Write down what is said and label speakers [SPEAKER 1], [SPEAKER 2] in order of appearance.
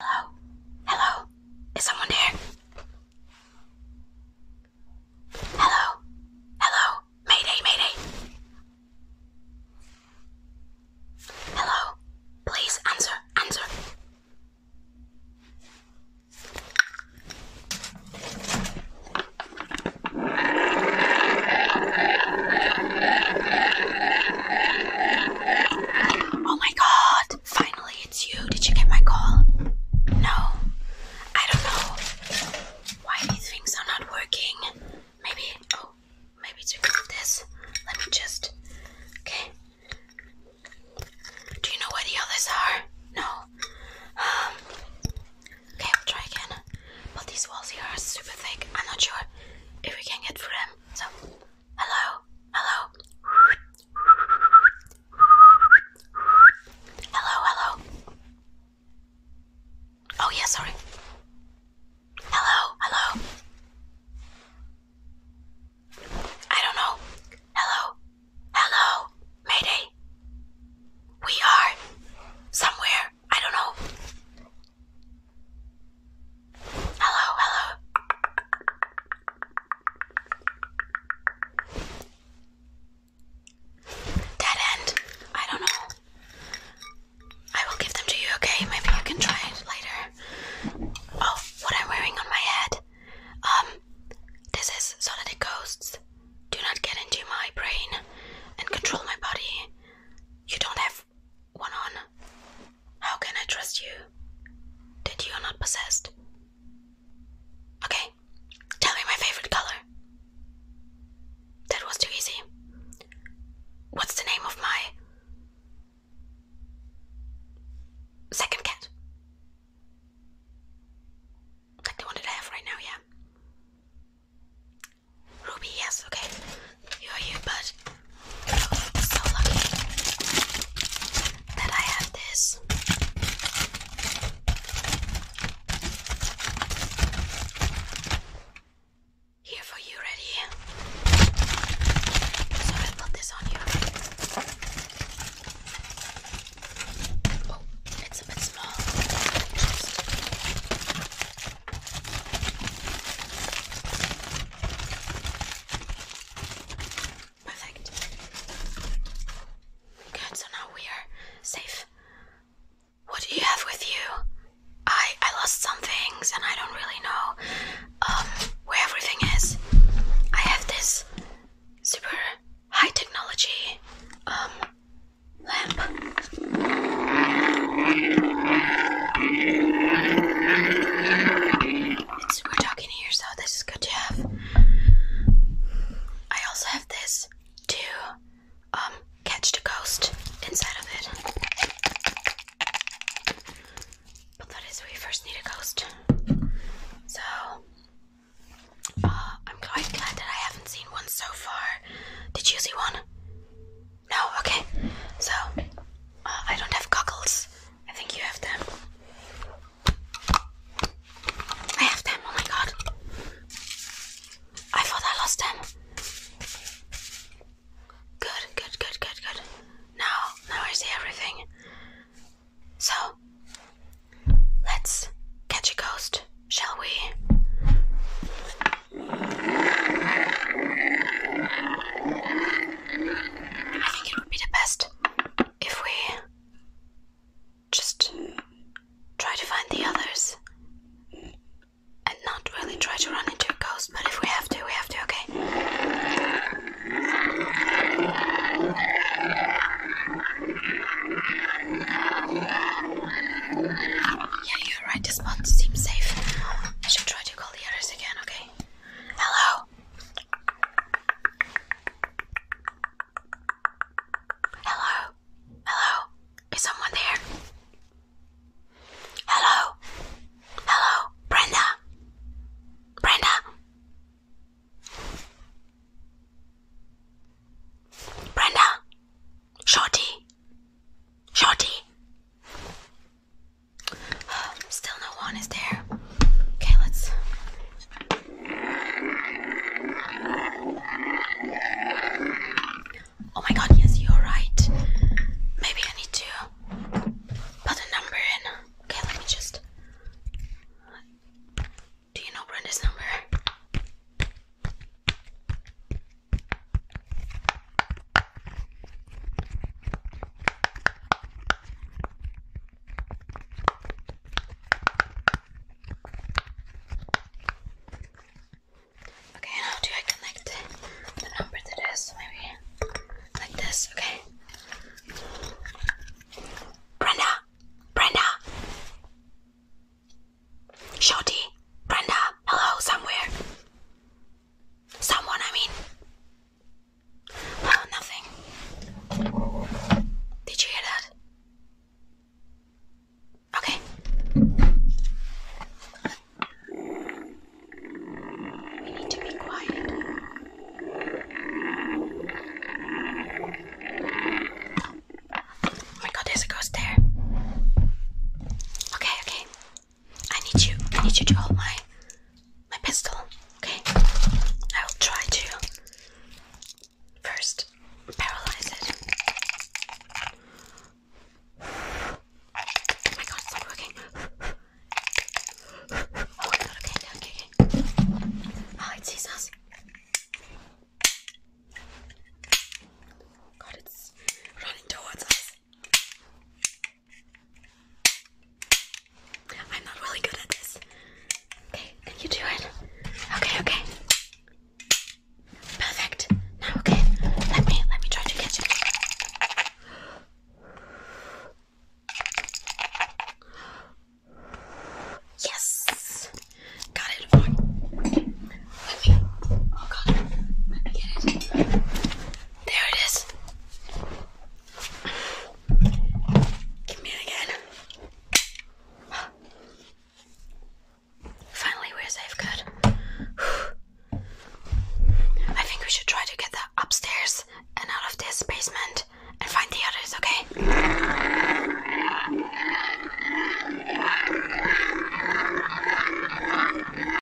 [SPEAKER 1] Hello? Hello? Is someone there? Hello? Hello? Mayday, mayday. Hello? Please answer, answer. Oh my god, finally it's you. Did you get my call? No. I don't know why these things are not working. Maybe, oh, maybe it's to of this. Let me just, okay. Do you know where the others are? No. Um, okay, i will try again. But these walls here are super thick. I'm not sure if we can get through them. So. Hello, hello. Hello, hello. Oh, yeah, sorry. Hello, hello. I don't know. Hello, hello. Mayday. We are somewhere. I don't know. Hello, hello. Dead end. I don't know. I will give them to you, okay? Maybe you can try it later. Oh, what I'm wearing on my head. Um, this is so ghosts do not get into my brain and control my body. You don't have one on. How can I trust you? That you're not possessed. Okay, tell me my favorite color. That was too easy. What's the name of my second cat? Like the one that I have right now, yeah. Ruby, yes, okay. You're here, but so lucky that I have this. Here for you, ready? So I put this on you. Oh, it's a bit small. Perfect. Good, so now we are safe. What do you have with you? I I lost some things and I don't really know um where everything is. I have this super high technology um lamp we're talking here, so this is good to have. I also have this to um catch the ghost inside of it. But that is we first need a ghost. So uh, I'm quite glad that I haven't seen one so far. Did you see one? No, okay. So, uh, I don't have goggles. I think you have them. I have them, oh my god. I thought I lost them. Good, good, good, good, good. Now, now I see everything. So, let's catch a ghost, shall we? I think it would be the best if we just try to find the others and not really try to run into a ghost, but if we have to, we have to, okay? Yeah, you're right, this spot seems safe. I should try to call the others again, okay? Hello. Hello. Hello. Is someone there? Hello. Hello. Brenda. Brenda. Brenda. Shorty. Shorty. Um, still no one is there. Okay, let's. Oh my god, yes, you're right. Maybe I need to put a number in. Okay, let me just. Do you know Brenda's number? Okay, how do I connect the number to Maybe like this, okay? Brenda, Brenda, Shotty, Brenda, hello, somewhere. Someone, I mean. Oh, nothing. Did you hear that? Okay. We need to be quiet. Oh my god, there's a ghost there. Okay, okay. I need you. I need you to hold my my pistol. Okay. I will try to first paralyze it. Oh my god, it's not working. Oh my god, okay, okay, okay. Oh, ah, it sees us. God, it's running towards us. I'm not really good at this. Okay, you do it? Okay, okay. Perfect. Now okay. Let me let me try to catch it. Yes. Got it. oh god. There it is. Give me again. Finally, we're safe. Good. I think we should try to get that upstairs and out of this basement and find the others, okay?